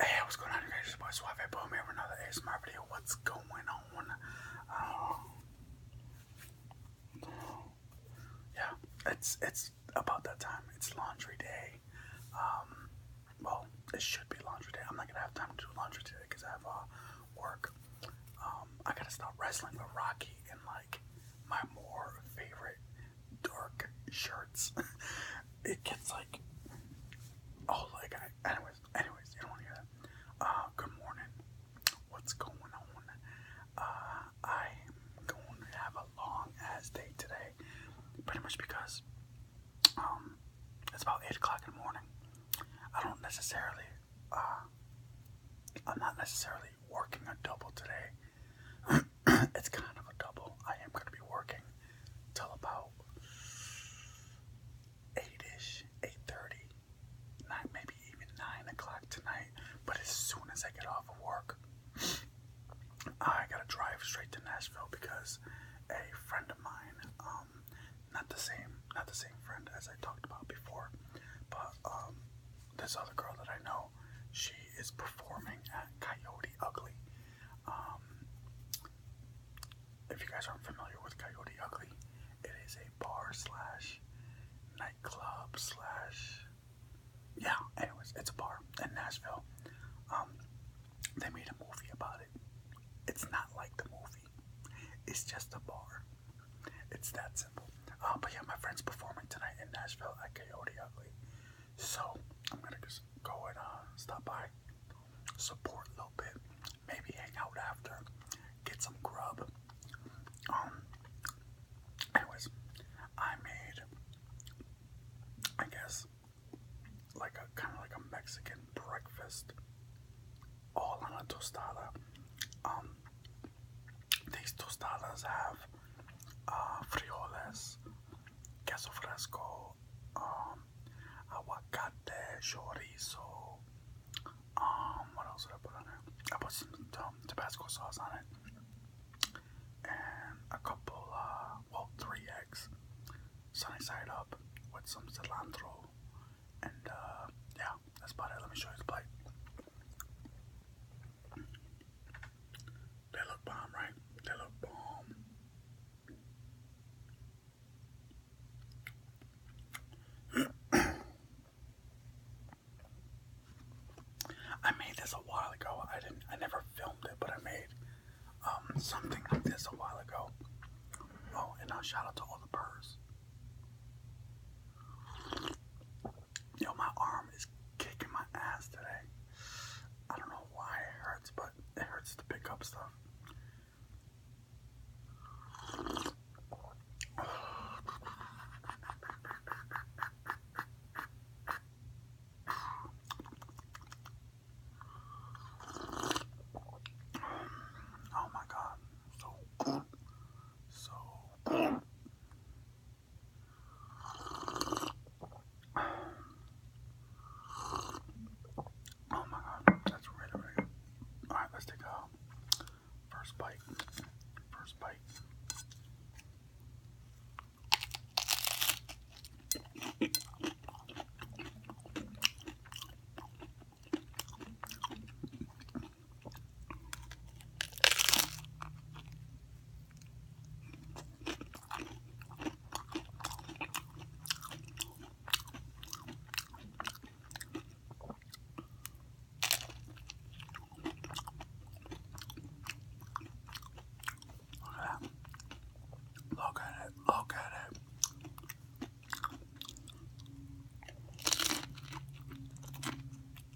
Hey, what's going on, guys? It's your Boom here with another ASMR video. What's going on? Um, yeah, it's it's about that time. It's laundry day. Um, well, it should be laundry day. I'm not gonna have time to do laundry today because I have uh, work. Um, I gotta stop wrestling with Rocky and like my more favorite dark shirts. it gets like, oh, like, I, anyways, anyways, you don't want to hear that. Uh, good morning. What's going on? Uh, I'm going to have a long ass day today, pretty much because, um, it's about eight o'clock in the morning. I don't necessarily, uh, I'm not necessarily working a double today. it's kind of a double. I am going to be working till about eight ish, eight thirty, nine, maybe even nine o'clock tonight. But as soon as I get off of work, I gotta drive straight to Nashville because a friend of mine, um, not the same, not the same friend as I talked about before, but um, this other girl that I know, she is performing at Coyote Ugly. Um, if you guys aren't familiar with Coyote Ugly, it is a bar slash nightclub slash yeah. Anyways, it's a bar in Nashville. Um, they made a movie about it. It's not like the movie. It's just a bar. It's that simple. Um, but yeah, my friend's performing tonight in Nashville at Coyote Ugly. So I'm gonna just go and uh, stop by, support a little bit, maybe hang out after, get some grub. Um. Anyways, I made, I guess, like a kind of like a Mexican breakfast, all on a tostada. Um, these tostadas have uh, frijoles, queso fresco, um, aguacate, chorizo. Um, what else did I put on it? I put some um, Tabasco sauce on it, and a couple, uh, well, three eggs, sunny side up, with some cilantro, and uh, yeah, that's about it. Let me show you the plate. They look bomb, right? They look bomb. I made this a while ago. I didn't. I never filmed it, but I made um, something like this a while ago. Oh, and now shout out to all the birds. Yo, my arm is kicking my ass today. I don't know why it hurts, but it hurts to pick up stuff. Oh my god, so so Oh my god, that's really, good. Alright, let's take a first bite. First bite. Look at it, look at it.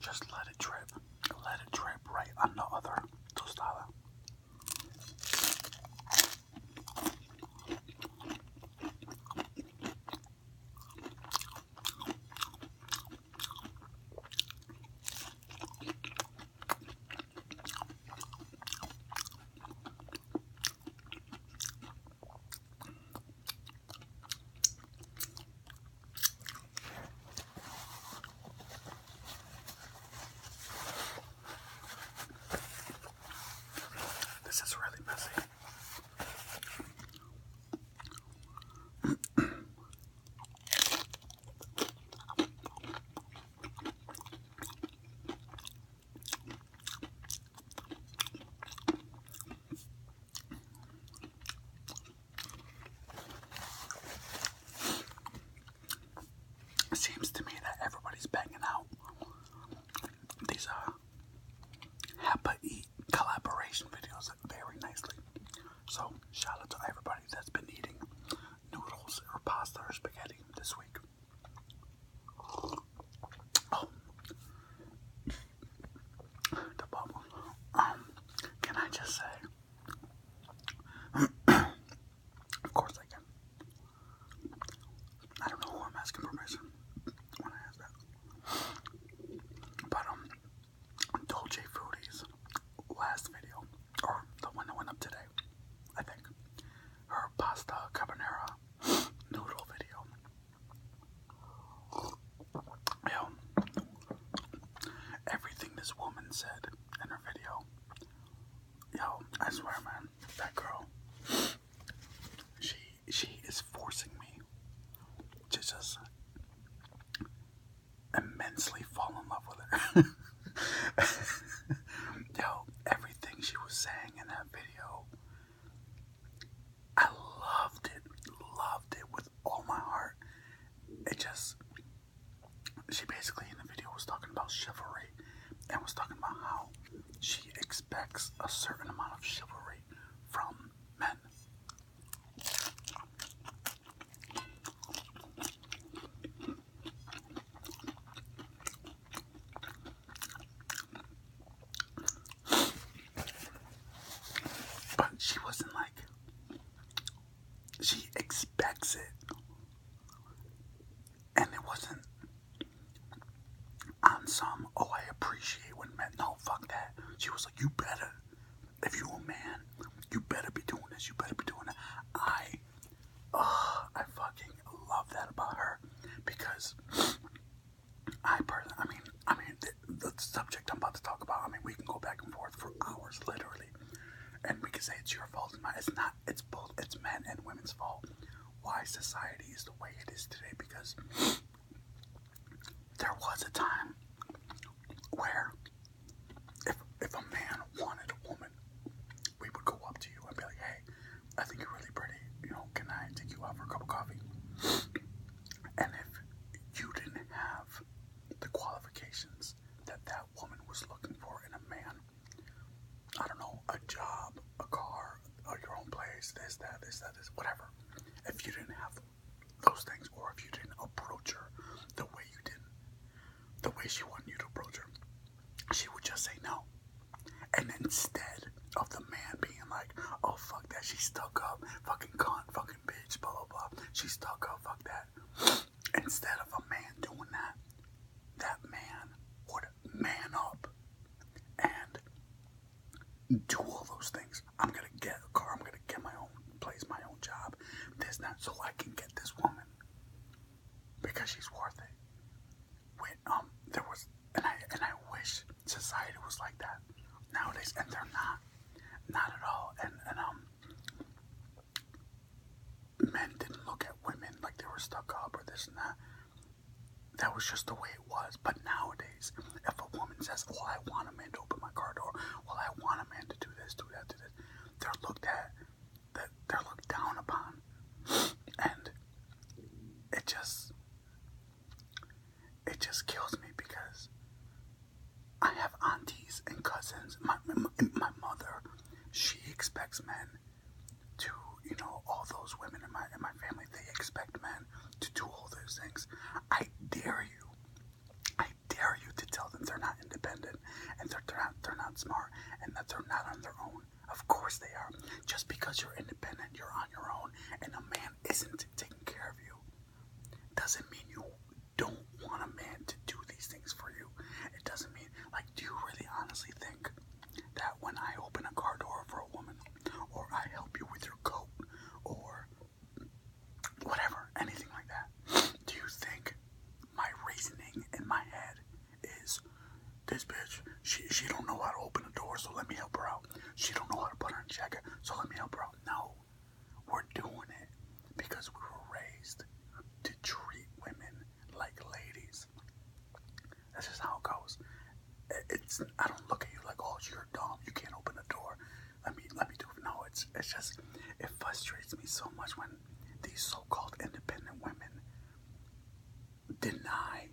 Just let it drip. Let it drip right on the other tostada. This is really messy. It seems to me that everybody's banging out these uh Hapa Eat collaboration videos very nicely. So shout out to everybody that's been eating noodles or pasta or spaghetti this week. Oh, the bubble. Um, can I just say? of course I can. I don't know who I'm asking permission when I ask that. But um, Dolce Fruities last video, or the one that went up today, I think, her pasta carbonara noodle video. Yo, everything this woman said in her video, yo, I swear, man, that girl, she she is forcing me to just immensely fall in love with her. Yo, everything she was saying in that video, I loved it, loved it with all my heart. It just, she basically in the video was talking about chivalry and was talking about how she expects a certain amount of chivalry from men. But she wasn't like, she expects it. And it wasn't on some, oh, I appreciate when men. No, fuck that. She was like, you better. If you a man, you better be doing this. You better be doing that. I I fucking love that about her because I personally, I mean, I mean, the, subject I'm about to talk about, I mean, we can go back and forth for hours, literally. And we can say it's your fault, it's mine. It's not, it's both, it's men and women's fault. Why society is the way it is today because there was a time where if if a man wanted a woman, we would go up to you and be like, "Hey, I think you're really pretty. You know, can I take you out for a cup of coffee?" And if you didn't have the qualifications that that woman was looking for in a man, I don't know, a job, a car, uh, your own place, this, that, this, that, this, whatever. If you didn't have those things, or if you didn't approach her the way you did the way she wanted you to approach her, she would just say no. And instead of the man being like, oh fuck that, she's stuck up, fucking cunt, fucking bitch, blah blah blah, she's stuck up, fuck that. Instead of a man doing that, that man would man up and do all those things. I'm gonna get a car, I'm gonna get my own place, my own job, this, not so I can get this woman because she's worth it. When um there was and I and I wish society was like that nowadays, and they're not, not at all. And and um men didn't look at women like they were stuck up or this and that. That was just the way it was. But nowadays, if a woman says, "Well, I want a man to open my car door," "Well, I want a man to do this, do that, do this," they're looked at that they're looked down upon. And it just it just kills me because I have aunties and cousins. My, my, my mother, she expects men to, you know, all those women in my in my family, they expect men to do all those things. I dare you I dare you to tell them they're not independent and they're, not, they're not smart and that they're not on their own. Of course they are. Just because you're independent, you're on your own, and a man isn't taking care of you, doesn't mean you don't want a man to do these things for you. It doesn't mean, like, do you really honestly think that when I open a car door for a woman, or I help you with your coat, or whatever, anything like that, do you think my reasoning in my head is this bitch, she, she don't know how to open the door, so let me help her out. She don't know how to put her in checker, so let me help her out. No, we're doing it because we were raised to treat women like ladies. That's just how it goes. It's I don't look at you like, oh, you're dumb. You can't open the door. Let me let me do it. No, it's it's just it frustrates me so much when these so called independent women deny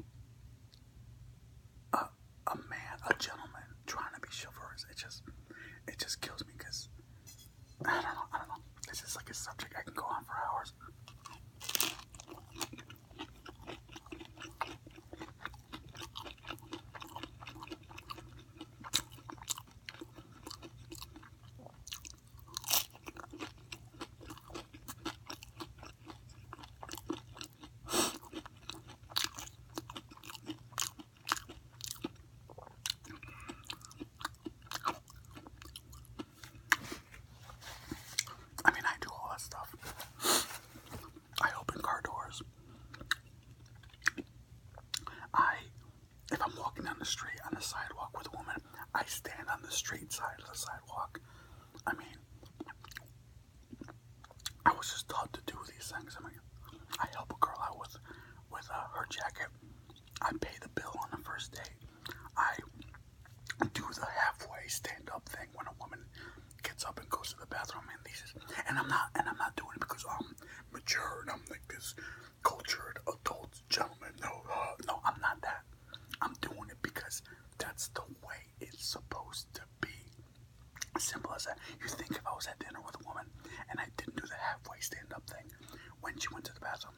a, a man, a gentleman, trying to be chivalrous. It just, it just kills me because I don't know, I don't know. This is like a subject I can go on for hours. I mean, I do all that stuff. I open car doors. I if I'm walking down the street on the sidewalk with a woman, I stand on the street side of the sidewalk. I mean, I was just taught to do these things. I mean, I help a girl out with with uh, her jacket. I pay the bill on the first date. I do the halfway stand up thing when a woman gets up and goes to the bathroom and these and I'm not and I'm not doing it because I'm mature and I'm like this cultured adult gentleman. No, uh, no, I'm not that. I'm doing it because that's the way it's supposed to be. Simple as that. You think if I was at dinner with a woman and I didn't do the halfway stand up thing when she went to the bathroom,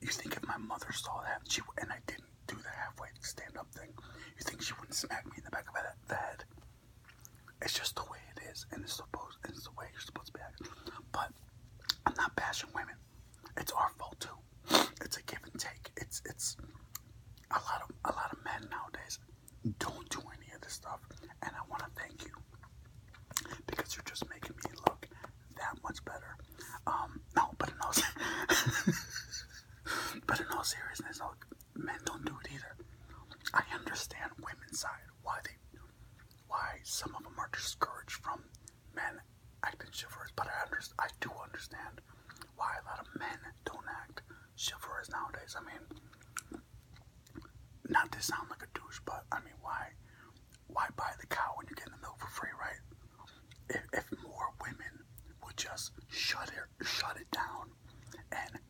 you think if my mother saw that she and I didn't do the halfway stand up thing, you think she wouldn't smack me in the back of the head? It's just the way it is, and it's supposed it's the way you're supposed to be acting. But I'm not bashing women. It's our fault too. It's a give and take. It's it's a lot of a lot of men nowadays don't do any of this stuff, and I want to thank you because you're just making me look that much better. Um, no, but in all, but in all seriousness, look, men don't do it either. I understand women's side why they why some of them are discouraged from men acting chivalrous, but I understand, I do understand why a lot of men don't act chivalrous nowadays. I mean, not to sound like a douche, but I mean, why why buy the cow when you get the milk for free, right? If, if more women would just shut it shut it down and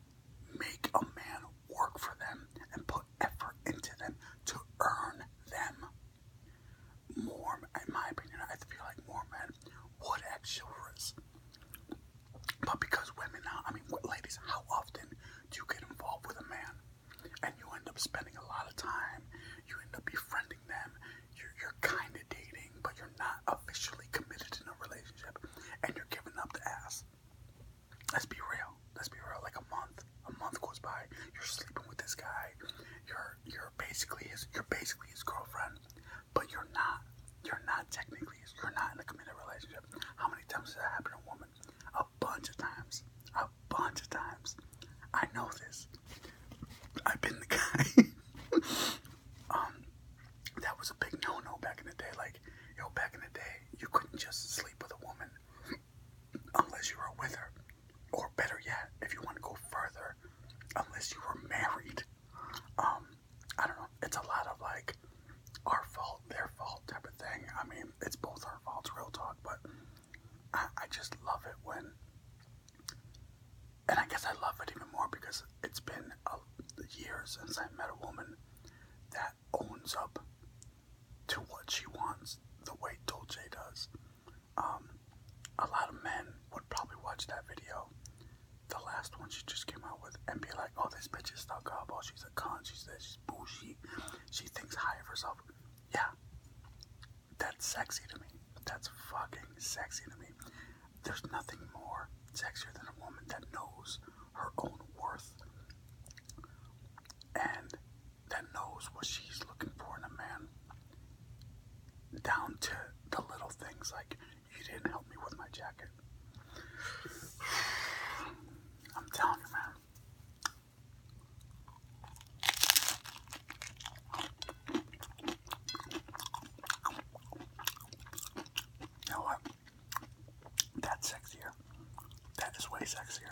make a man work for them and put effort into them to earn them. More, in my opinion, I feel like more men would have chivalrous. But because women, I mean, ladies, how often do you get involved with a man? And you end up spending a lot of time, you end up befriending them, you're kind of dating, but you're not officially committed in a relationship, and you're giving up the ass let's be real. Let's be real. Like a month, a month goes by. You're sleeping with this guy. You're you're basically his you're basically his girlfriend, but you're not. You're not technically. You're not in a committed relationship. How many times has that happened to a woman? A bunch of times. A bunch of times. I know this. I've been the guy. um, that was a big no-no back in the day. Like, yo, back in the day, you couldn't just sleep with a woman unless you were with her, or better yet, if you want to go further, unless you were married. Um, I don't know. It's a lot of like our fault, their fault type of thing. I mean, it's both our faults, real talk. But I just love it when, and I guess I love it even more because it's been a year since I met a woman that owns up to what she wants the way Dolce does. Um, a lot of men would probably watch that video, the last one she just came out with, and be like, oh, this bitch is stuck up, oh, she's a con, she's this, she's bougie, she thinks high of herself. Yeah, that's sexy to me. That's fucking sexy to me. There's nothing more sexier than a woman that knows her own worth and that knows what she's looking for in a man. Down to the little things like, you didn't help me with my jacket. I'm telling you, man. You know what? That's sexier. That is way sexier.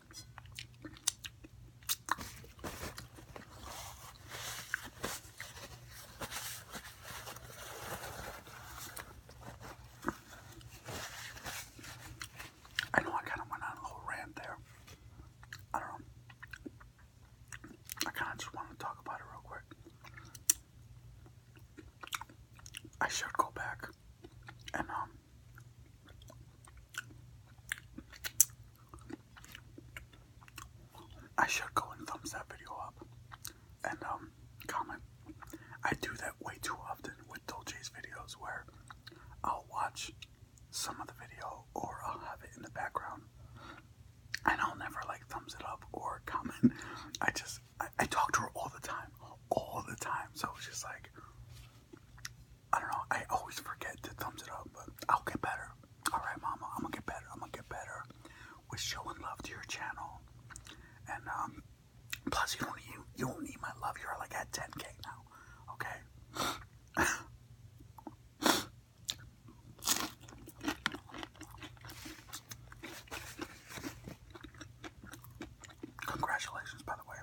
I know I kind of went on a little rant there. I don't know. I kind of just wanted to talk about it real quick. I should go back and um, I should go and thumbs that video up and um comment. I do that way too often with Dolce's videos where I'll watch some of the video or I'll have it in the background and I'll never like thumbs it up or comment. I just I, I talk to her all the time. All the time. So it's just like I don't know. I always forget to thumbs it up, but I'll get better. All right, Mama, I'm gonna get better. I'm gonna get better with showing love to your channel. And um, plus, you don't need you don't need my love. You're like at 10k now, okay? Congratulations, by the way,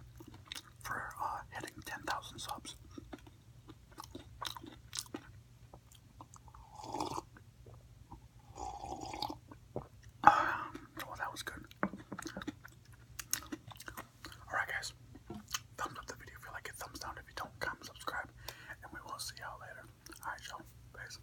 for uh, hitting 10,000 subs. Um, that was good. Alright, guys. Thumbs up the video if you like it. Thumbs down if you don't. Comment, subscribe, and we will see y'all later. Alright, y'all. Peace.